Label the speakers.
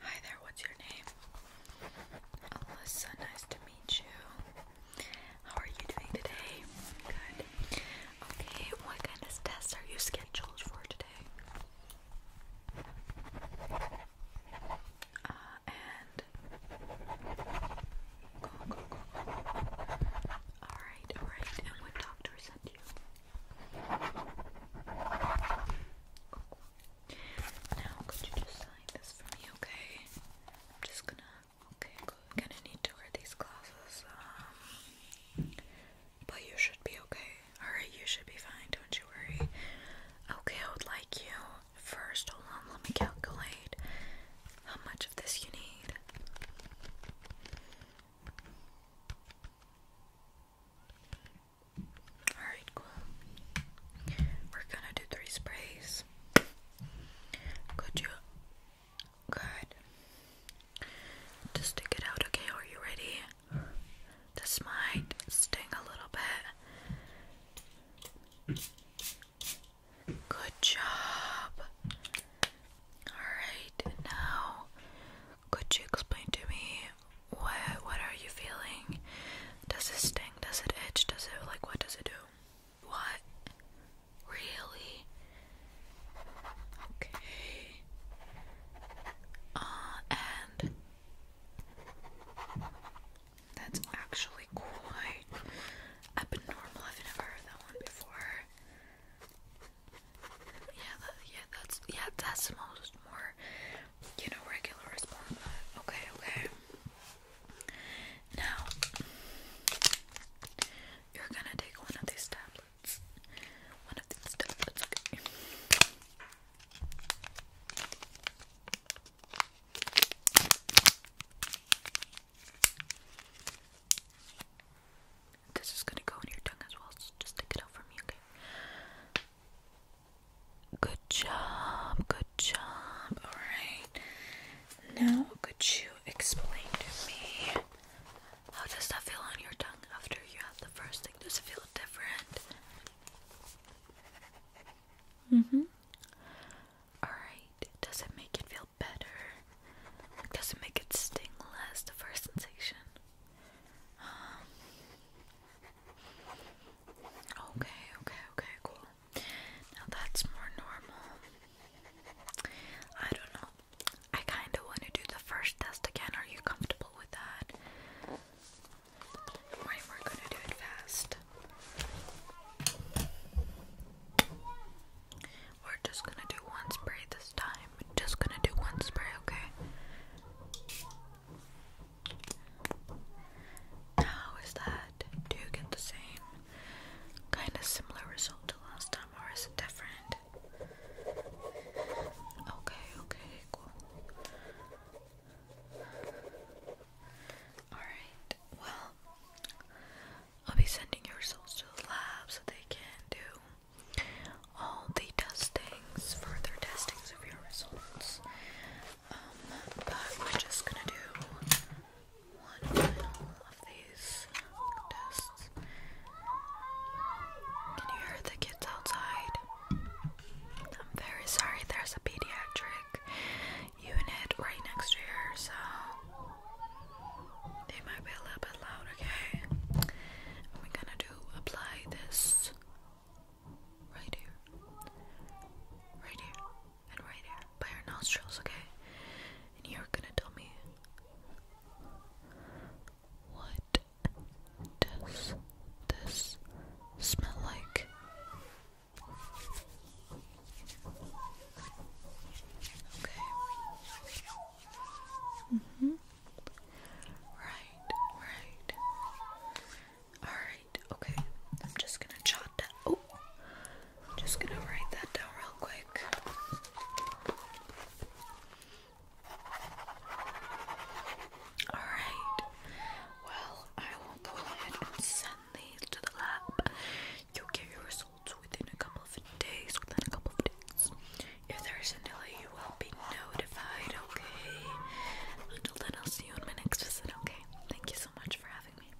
Speaker 1: Hi there, what's your name? Alyssa, nice to meet you. How are you doing today? Good. Okay, what kind of tests are you scheduled for today? Uh, and go, go, go. Alright, alright. And what doctor sent you? Now, could you just sign this for me, okay? I'm just gonna. Okay, good. Gonna need to wear these glasses. Um, but you should be okay. Alright, you should be fine. Don't you worry. Okay, I would like you first. Hold on, let me calculate how much of this you need. Alright, We're gonna do three sprays. Could you good to stick it out, okay? Are you ready? This might sting a little bit. Good job. Alright, now could you explain to me what what are you feeling? Does it sting? Does it itch? Does it like what does it do? What? Really? Okay. Uh and that's actually quite Abnormal. I've never heard that one before. Yeah, that, yeah, that's yeah, that's most more, you know, regular response. Okay, okay. Now you're gonna take one of these tablets. One of these tablets. Okay. This is gonna go in your tongue as well, just stick it out for me, okay? Good job, good job. Alright. Now, could you explain to me how does that feel on your tongue after you have the first thing? Does it feel different? Mm hmm. Alright, does it make it feel better? Does it make it sting less, the first sensation? Um, okay, okay, okay, cool. Now that's more normal. I don't know. I kind of want to do the first test again. Are you comfortable with that? we're gonna do it fast. We're just gonna do one spray this time. Just gonna do one spray, okay? How is that? Do you get the same kind of similar result to last time, or is it different? Okay, okay, cool. Alright, well, I'll be sending your results to the lab so they can do all the testings, further testings of your results. Um, but we're just gonna do one of these tests. Can you hear the kids outside? I'm very sorry there's a pediatric unit right next to here, so they might be a little bit loud, okay? we're gonna do apply this right here, right here, and right here by our nostrils, okay? And you're gonna tell me what does this smell like? Okay. hmm Right, right. Alright, okay. I'm just gonna jot that. Oh! I'm just gonna write that down real quick. Alright, well, I will go ahead and send these to the lab. You'll get your results within a couple of days. Within a couple of days. If there is a delay, you will be notified, okay? Until then, I'll see you in my next visit, okay? Thank you so much for having me.